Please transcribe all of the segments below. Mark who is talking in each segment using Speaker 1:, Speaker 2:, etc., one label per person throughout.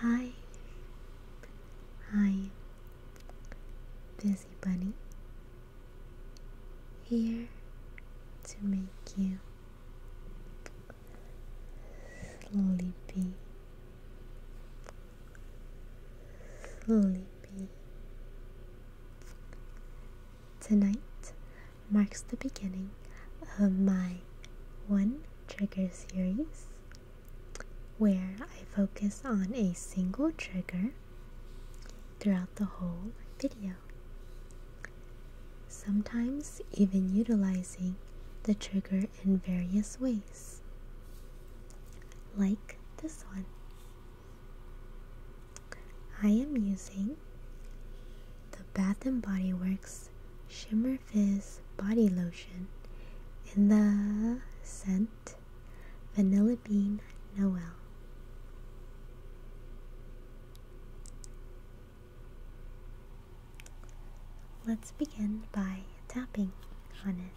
Speaker 1: Hi, I'm Busy Bunny here to make you sleepy, sleepy. Tonight marks the beginning of my one trigger series where I focus on a single trigger throughout the whole video. Sometimes even utilizing the trigger in various ways, like this one. I am using the Bath and Body Works Shimmer Summer body lotion in the scent Vanilla Bean Noel. Let's begin by tapping on it.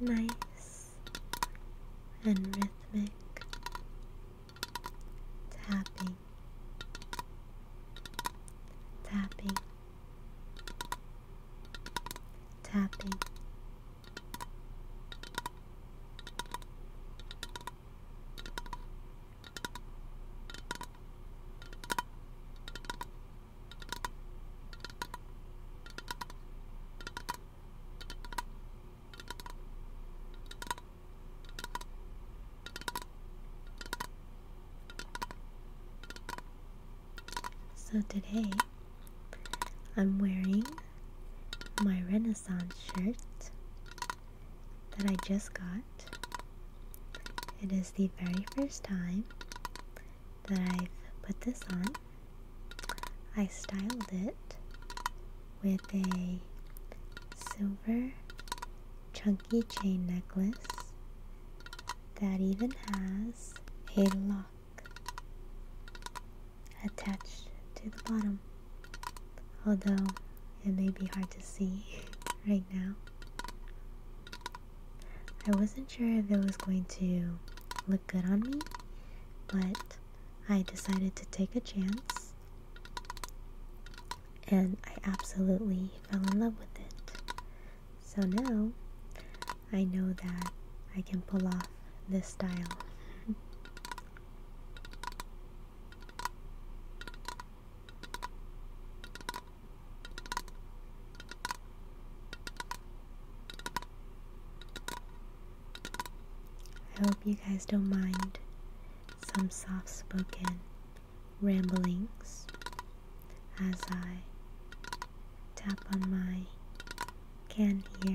Speaker 1: nice and rhythmic tapping, tapping, tapping. So today I'm wearing my Renaissance shirt that I just got. It is the very first time that I've put this on. I styled it with a silver chunky chain necklace that even has a lock attached to the bottom. Although it may be hard to see right now. I wasn't sure if it was going to look good on me, but I decided to take a chance and I absolutely fell in love with it. So now I know that I can pull off this style. I hope you guys don't mind some soft spoken ramblings as I tap on my can here.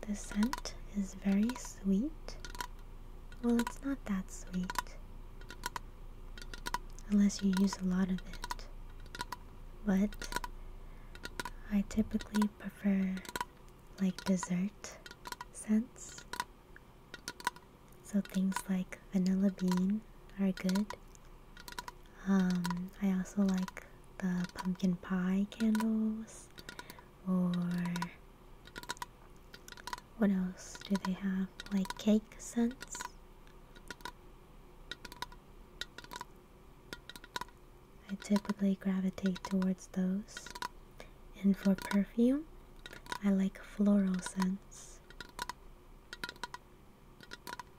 Speaker 1: The scent is very sweet. Well, it's not that sweet. Unless you use a lot of it. But I typically prefer like dessert scents. So things like vanilla bean are good um, I also like the pumpkin pie candles or what else do they have? Like cake scents. I typically gravitate towards those. And for perfume, I like floral scents.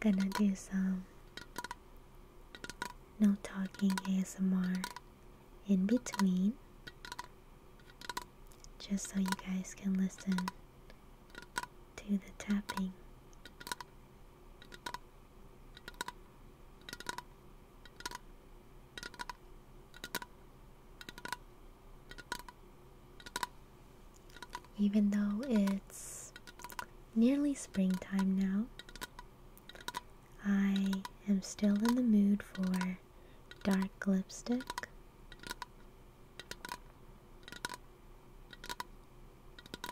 Speaker 1: Gonna do some no talking ASMR in between just so you guys can listen to the tapping even though it's nearly springtime now, I am still in the mood for dark lipstick.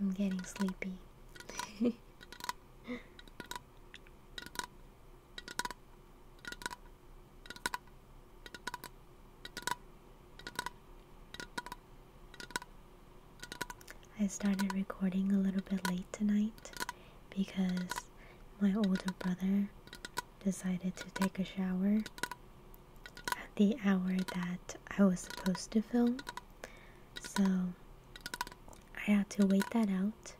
Speaker 1: I'm getting sleepy. I started recording a little bit late tonight because my older brother decided to take a shower at the hour that I was supposed to film. So I had to wait that out.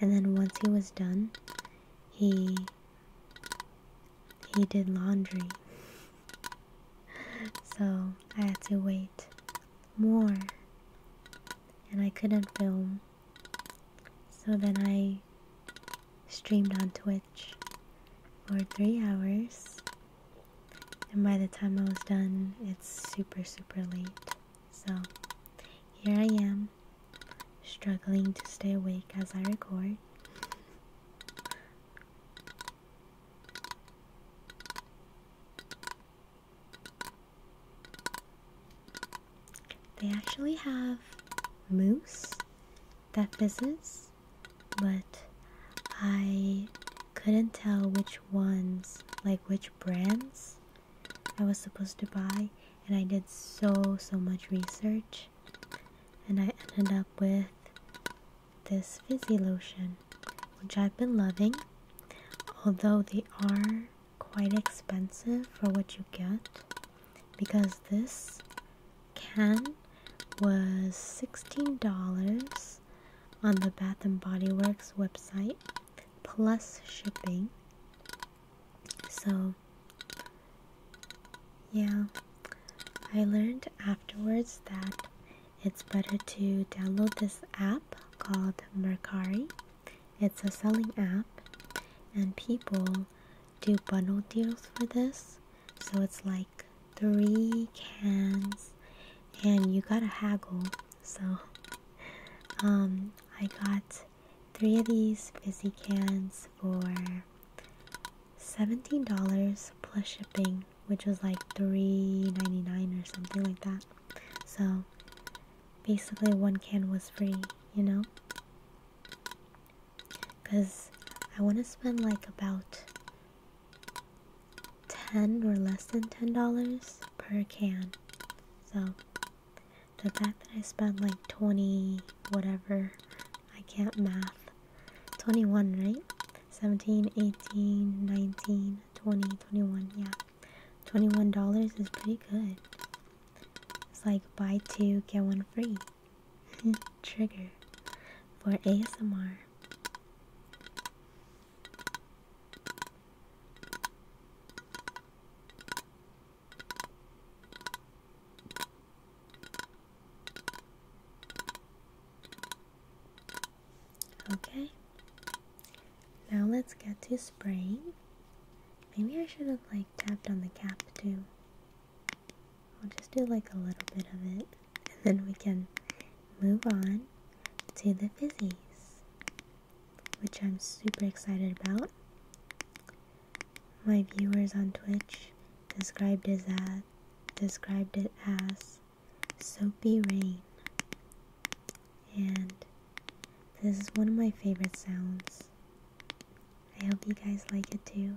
Speaker 1: And then once he was done, he he did laundry. so I had to wait more. And I couldn't film. So then I streamed on Twitch for 3 hours and by the time I was done, it's super, super late. So here I am, struggling to stay awake as I record. They actually have moose that fizzes, but I couldn't tell which which ones, like which brands I was supposed to buy, and I did so, so much research, and I ended up with this fizzy lotion, which I've been loving, although they are quite expensive for what you get, because this can was $16 on the Bath and Body Works website plus shipping. So, yeah, I learned afterwards that it's better to download this app called Mercari. It's a selling app, and people do bundle deals for this. So, it's like three cans and you gotta haggle so um I got three of these fizzy cans for $17 plus shipping which was like three ninety-nine dollars or something like that so basically one can was free you know because I want to spend like about 10 or less than $10 per can. So the fact that I spent like 20 whatever, I can't math. 21, right? 17, 18, 19, 20, 21, yeah. $21 is pretty good. It's like buy two, get one free. Trigger for ASMR. Okay, now let's get to spraying. Maybe I should have like tapped on the cap too. I'll just do like a little bit of it and then we can move on to the fizzies, which I'm super excited about. My viewers on Twitch described it as described it as soapy rain, and this is one of my favorite sounds. I hope you guys like it too.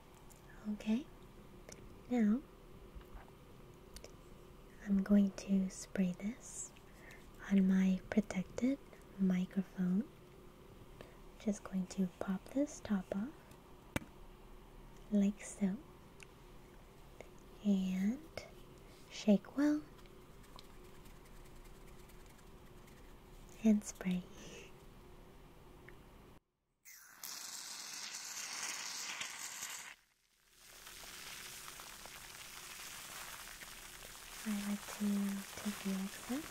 Speaker 1: Okay, now I'm going to spray this on my protected microphone. Just going to pop this top off like so and shake well and spray.
Speaker 2: I like to take the excess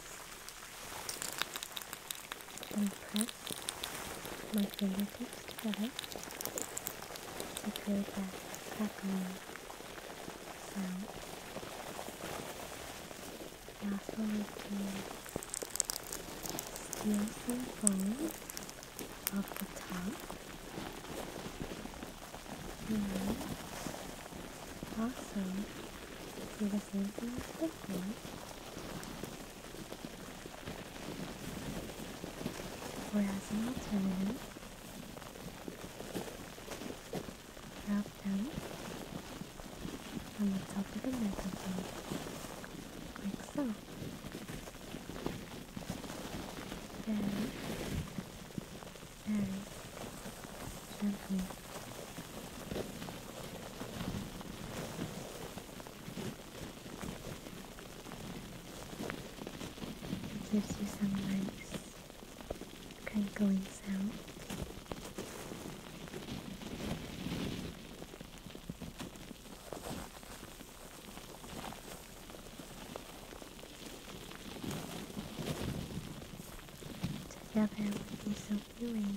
Speaker 2: and press my fingertips together to create that crackling sound. I also like to Steal some folds the top. And also do the same thing before. Or as an alternative, wrap them on the top of the microphone, like so very, very gently. It gives you some nice crinkling sound. Together with be so feeling.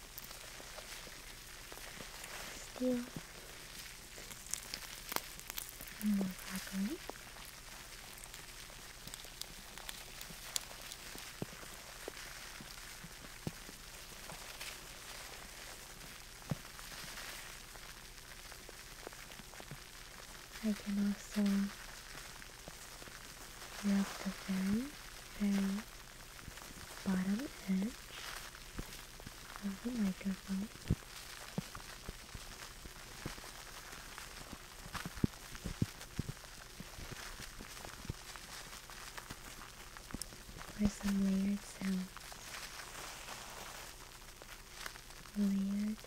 Speaker 2: Still, more broccoli. I can also rub the very, very bottom edge of the microphone. Or some layered sounds, layered,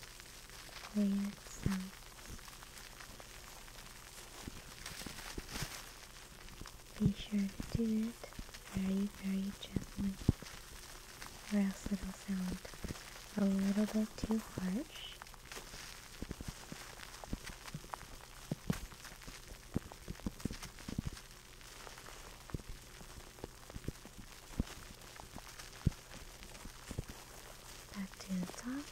Speaker 2: layered sounds be sure to do it very, very gently, or else it'll sound a little bit too harsh. Back to the top.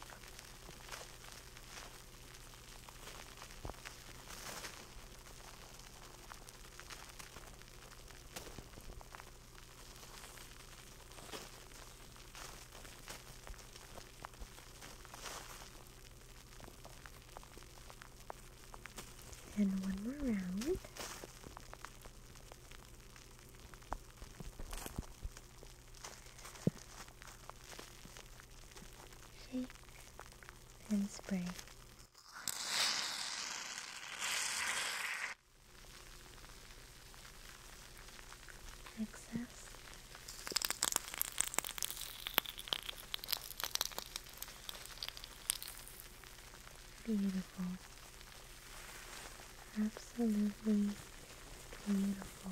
Speaker 2: And one more round. Shake and spray. Excess. Beautiful. Absolutely beautiful.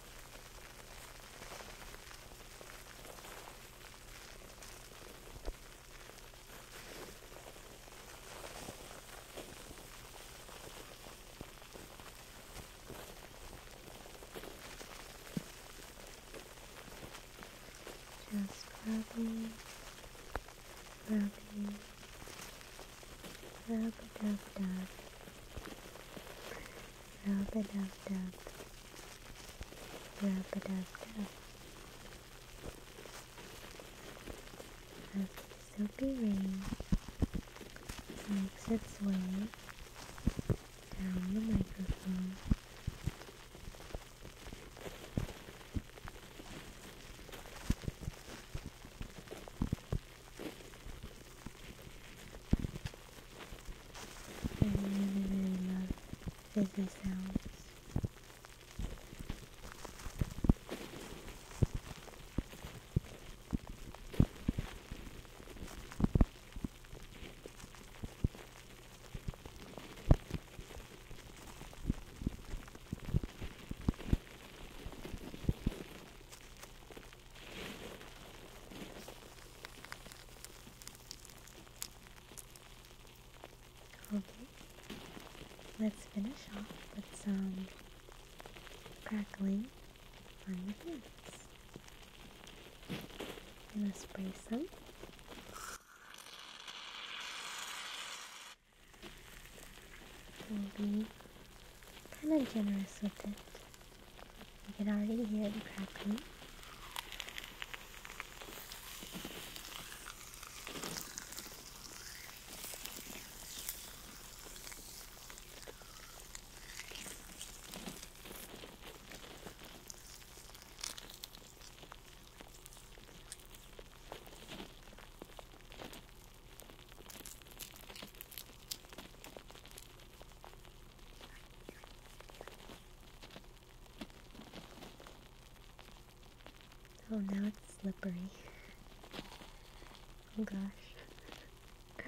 Speaker 2: Just rubbing, rubbing, rub a dub dub. Rub a dub dub. Rub it dub dub. As the soapy rain makes its way down the microphone. I really, really love fizzy sounds. Okay, let's finish off with some crackling on your hands. I'm going to spray some. We'll be
Speaker 1: kind of generous with it. You can already hear the crackling. Oh, now it's slippery. Oh gosh.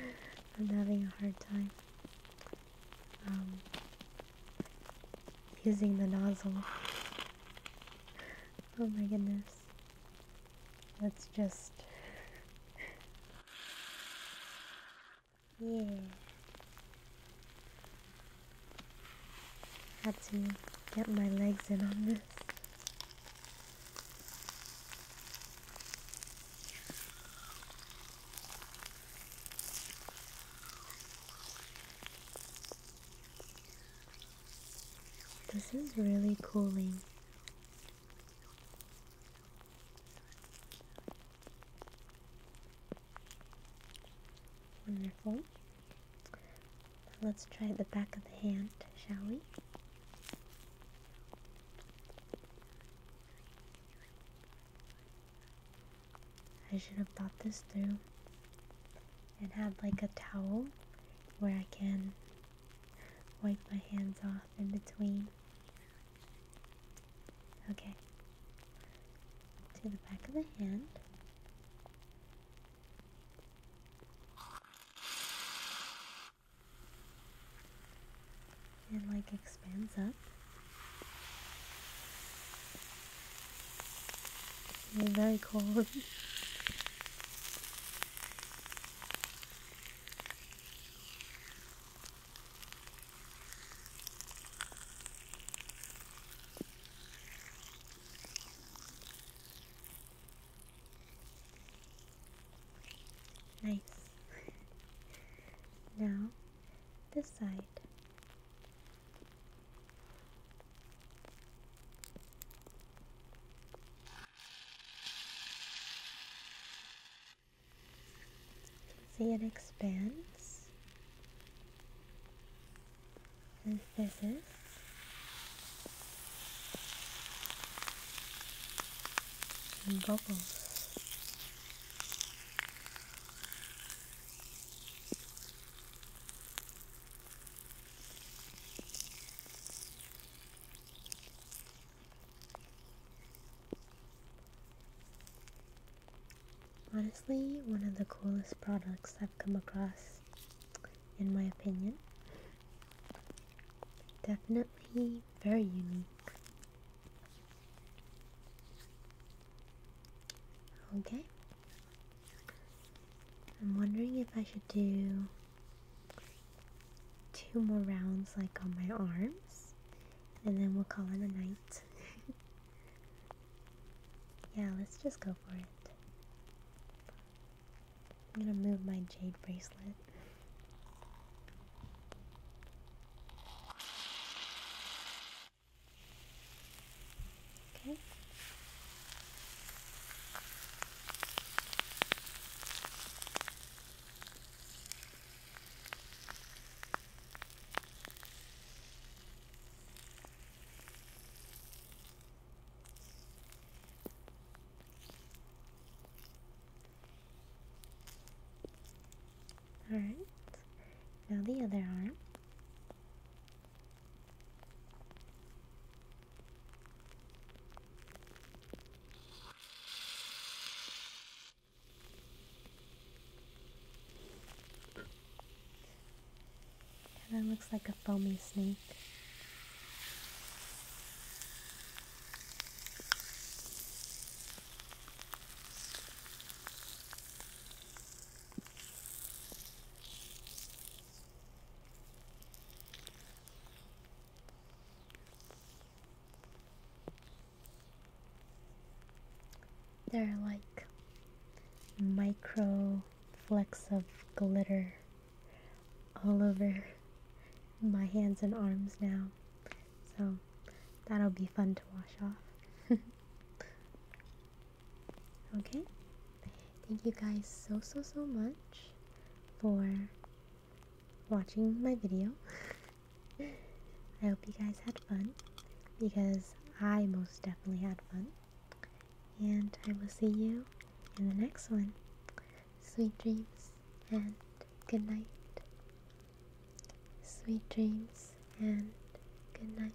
Speaker 1: I'm having a hard time um, using the nozzle. Oh my goodness.
Speaker 2: that's just yeah. Had
Speaker 1: to get my legs in on this.
Speaker 2: This is really cooling. Wonderful.
Speaker 1: Let's try the back of the hand, shall we? I should have thought this through and have like a towel where I can wipe my hands off in between. Okay. To the back
Speaker 2: of the hand. And like expands up. It's very cold.
Speaker 1: Nice. now, this side.
Speaker 2: See it expands and fizzes. And bubbles.
Speaker 1: Honestly, one of the coolest products I've come across, in my opinion. Definitely very unique. Okay. I'm wondering if I should do two more rounds like on my arms and then we'll call it a night. yeah, let's just go for it. I'm gonna move my jade bracelet.
Speaker 2: Okay. Alright,
Speaker 1: now the other arm. That looks like a foamy snake. They're like micro flecks of glitter all over my hands and arms now. So that'll be fun to wash off. okay? Thank you guys so so so much for watching my video. I hope you guys had fun because I most definitely had fun. And I will see you in the next one. Sweet dreams and good night. Sweet dreams and good night.